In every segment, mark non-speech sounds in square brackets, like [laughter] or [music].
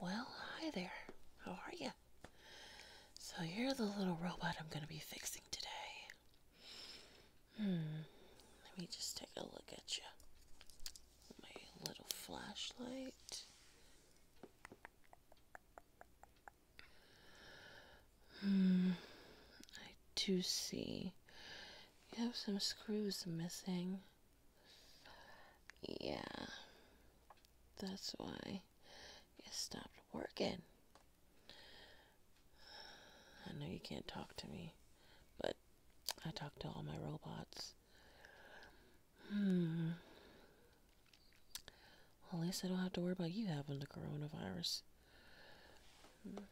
Well, hi there. How are you? So, you're the little robot I'm going to be fixing today. Hmm. Let me just take a look at you. My little flashlight. Hmm. I do see you have some screws missing. Yeah. That's why it stopped working. I know you can't talk to me, but I talk to all my robots. Hmm. at least I don't have to worry about you having the coronavirus. Hmm.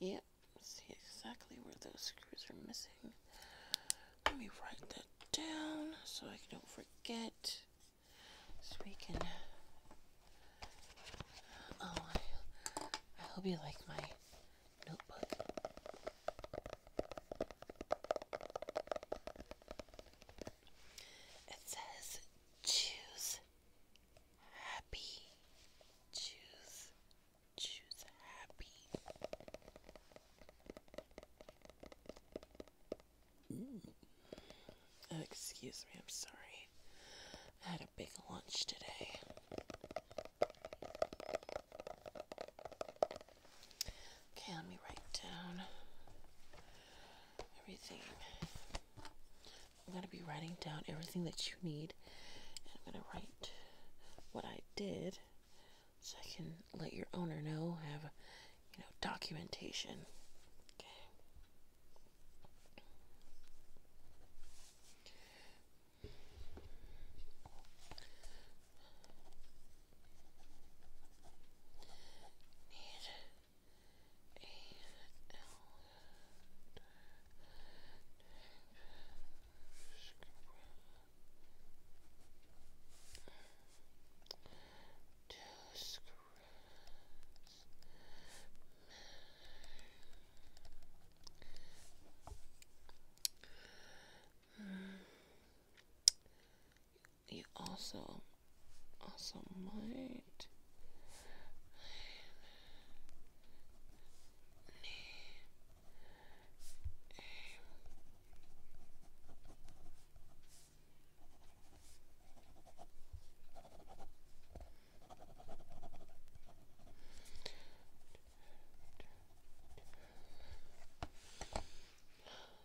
Yep, yeah, see exactly where those screws are missing. Let me write that down so I don't forget. So we can. Oh, I, I hope you like my notebook. It says choose happy. Choose Choose happy. Oh, excuse me, I'm sorry. I had a big lunch today. Okay, let me write down everything I'm going to be writing down everything that you need. And I'm going to write what I did so I can let your owner know, have, you know, documentation. Okay. You also also might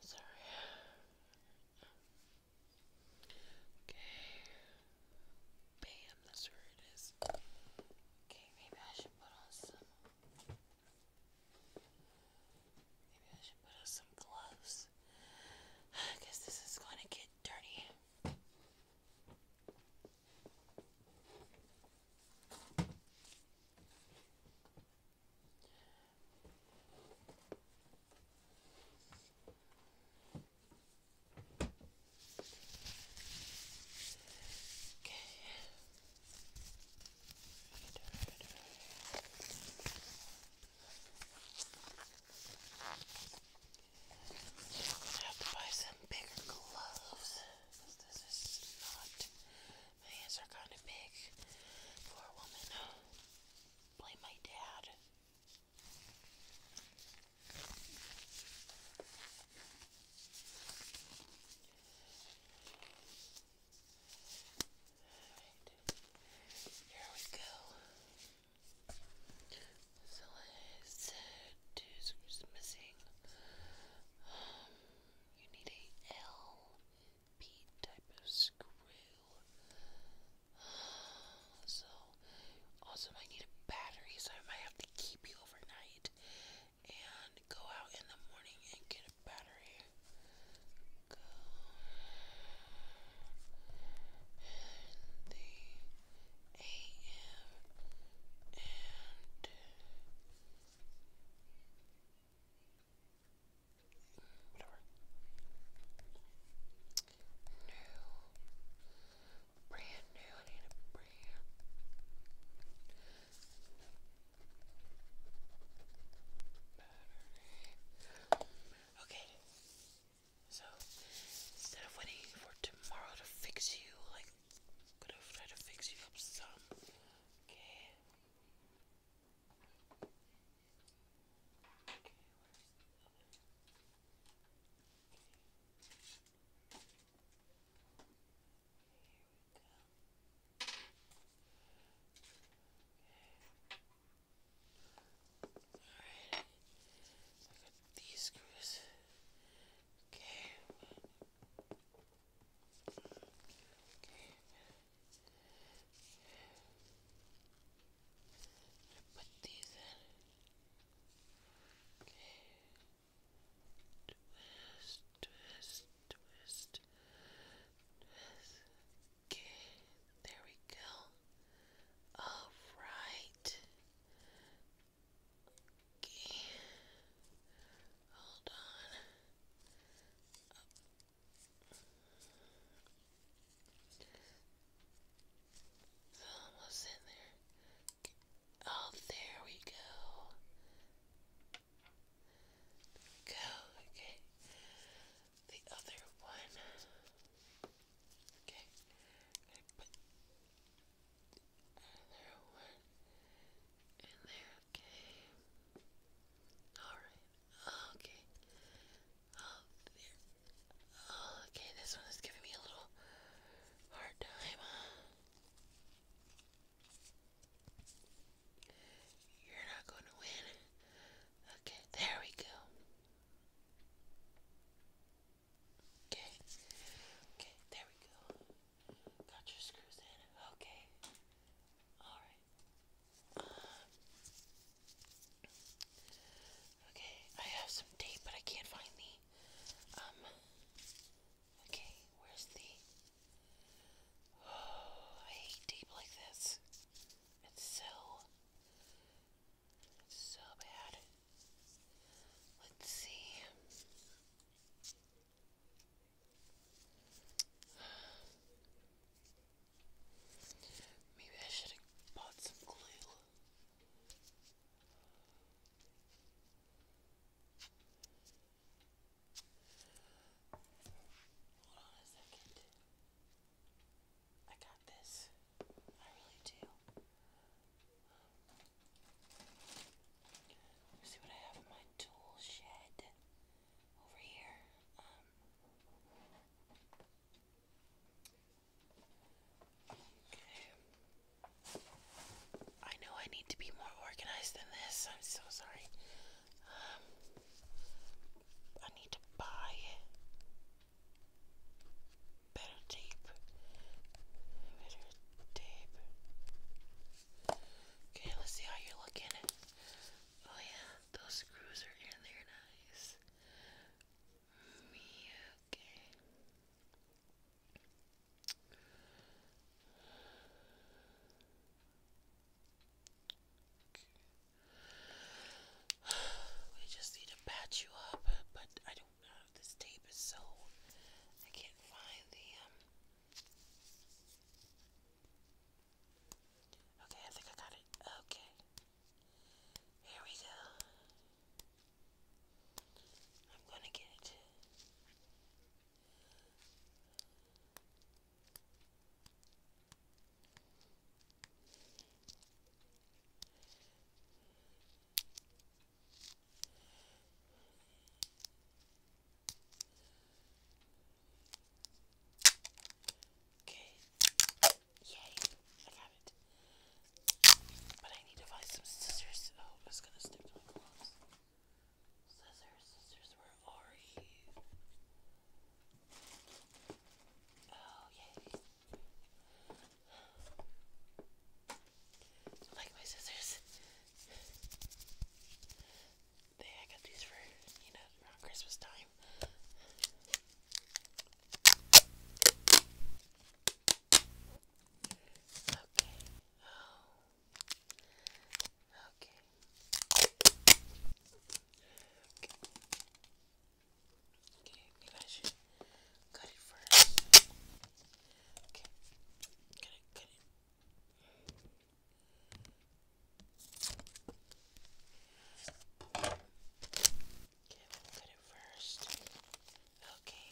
Sorry. Okay. Bam, that's where it is. Okay, maybe I should put on some. Maybe I should put on some gloves. I guess this is going to get dirty. I'm gonna have to buy some bigger gloves because this is not. My hands are kind of big for woman. Blame my dad. Right. Here we go. So I said two is missing. Um, you need a L P type of screw. Um, so also, I need a battery, so I might have to keep you overnight and go out in the morning and get a battery. Go in the AM and whatever new, brand new, I need a brand. Okay, so instead of waiting for tomorrow to fix you, I'm gonna try to fix you up some, okay? Okay, Alright, I got these screws. Okay. Okay. I put these in. Twist, twist, twist, twist. Okay, there we go. All right. Okay. Hold on almost in there. Oh, there we go. go. Okay. The other one. Okay. i put other one in there. Okay. Alright. Okay. Oh, there okay, this one is giving me a little hard time. You're not going to win. Okay, there we go. Okay, okay, there we go. Got your screws in. Okay, all right. Um, Okay, I have some tape, but I can't find the, um, okay, where's the, oh, I hate tape like this. It's so, so bad. Let's see. Maybe I should have bought some glue. Hold on a second. I got this. I really do. Let's see what I have in my tool shed over here. Um, I know I need to be more organized than this. I'm so sorry. Um, I need to buy better tape. Better tape. Okay, let's see how you're looking. Oh yeah, those screws are in there nice. We just need to patch you up, but I don't know if this tape is sold. I can't find the um Okay, I think I got it. Okay. Here we go. I'm gonna get it. Okay. Yay, I got it. But I need to buy some scissors. Oh, I gonna stick to my gloves. Scissors, scissors, where are you? Oh, yay. I like my scissors. They, I got these for, you know, around Christmas time. Okay. Oh. Okay. Okay. Okay, maybe I should cut it first. Okay. Cut it, cut it. Okay, we it first. Okay.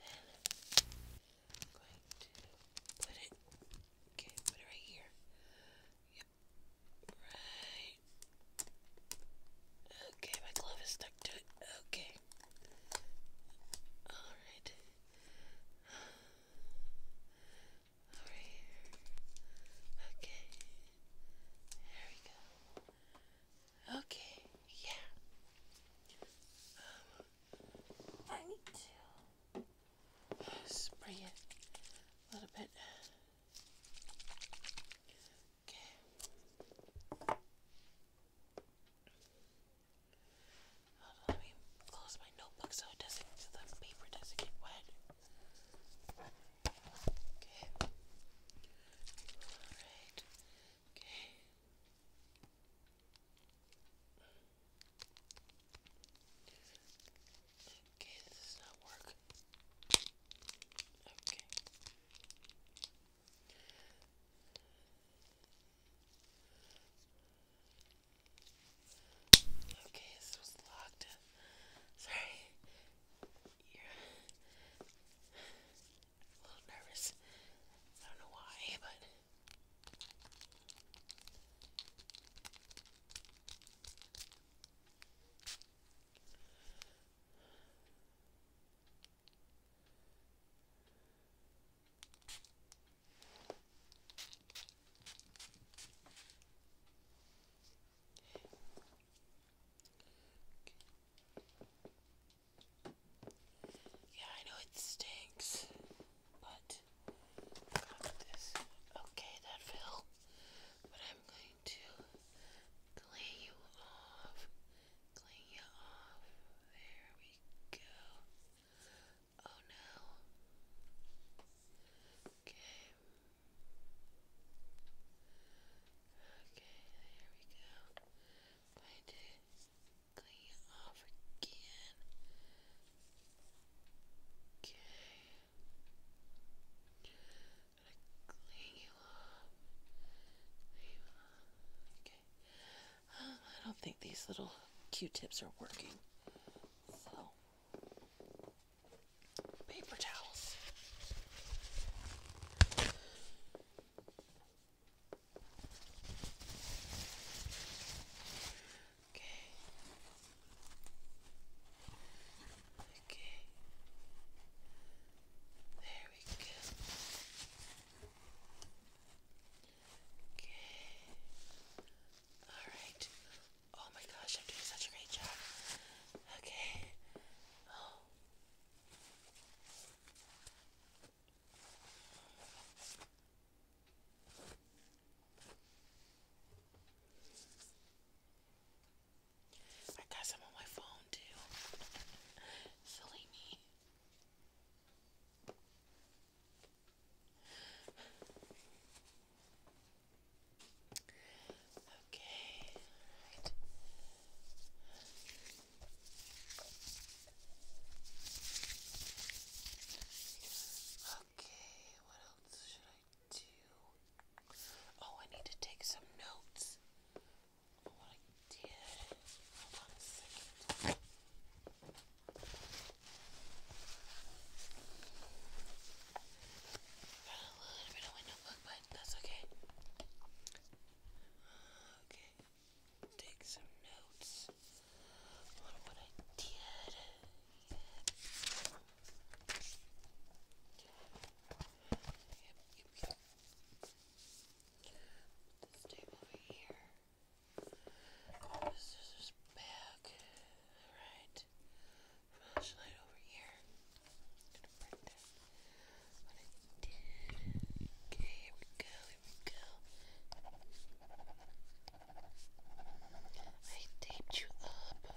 Then I'm going to put it okay, put it right here. Yep. Right. Okay, my glove is stuck to it. Okay. Alright over here. Okay. we go. Okay, yeah. Um, I need to spray it a little bit. Okay. Hold on, close my notebook so the paper doesn't get wet. Okay. All right. Okay. Okay, this does not work. Okay. Okay, this locked. Sorry. You're a little nervous. I don't know why, but. Okay. Yeah, I know it stinks, but got this. Okay, that fell, but I'm going to clean you off. Clean you off. There we go. Oh no. Okay. Okay, there we go. Going to clean it off again. Okay. Gonna clean you off. Okay. I don't think these little Q-tips are working. So paper towels. Okay. Okay. There we go. Okay. Alright. Oh my gosh, I'm doing such a great job. Okay. Oh. I got some on my phone too. Silly me. Okay, Okay, what else should I do? Oh, I need to take some notes what I did. Hold a little bit of window book, but that's okay. Okay, take some notes on what I did. Yep, This table over here. Oh, this is back. Alright flashlight over here. Okay, here we go, here we go. I taped you up. Then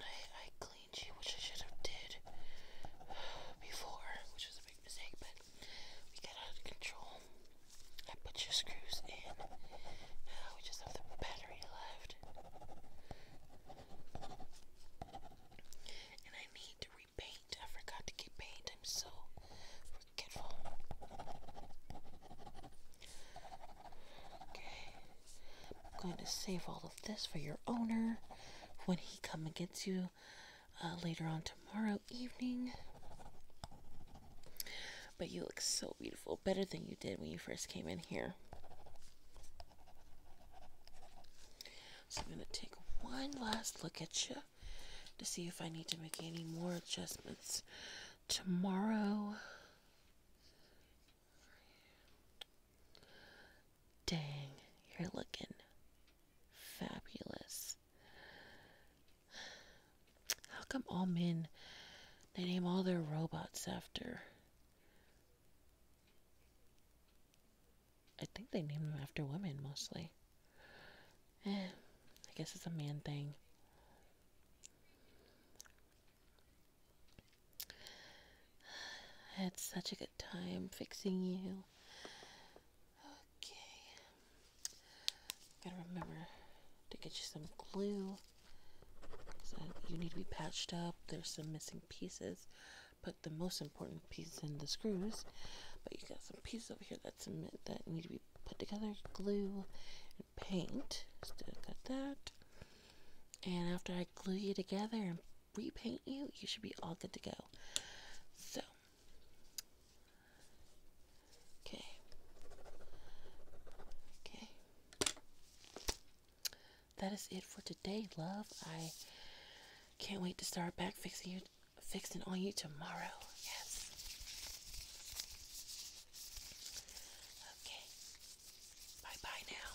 I, I cleaned you, which I should have did before, which was a big mistake, but we got out of control. I put your screws in. Now we just have the battery left. And I need to repaint. I forgot to get paint. I'm so forgetful. Okay. I'm going to save all of this for your owner when he comes and gets you. Uh, later on tomorrow evening. But you look so beautiful, better than you did when you first came in here. So I'm going to take one last look at you to see if I need to make any more adjustments tomorrow. Dang, you're looking fabulous. How come all men they name all their robots after? I think they name them after women mostly. Eh, I guess it's a man thing. [sighs] I had such a good time fixing you. Okay. Gotta remember to get you some glue. So you need to be patched up. There's some missing pieces. Put the most important pieces in the screws. But you got some pieces over here that's that need to be put together. Glue and paint. Still got that. And after I glue you together and repaint you, you should be all good to go. So Okay. Okay. That is it for today, love. I can't wait to start back fixing you fixing on you tomorrow. Yes. Okay. Bye-bye now.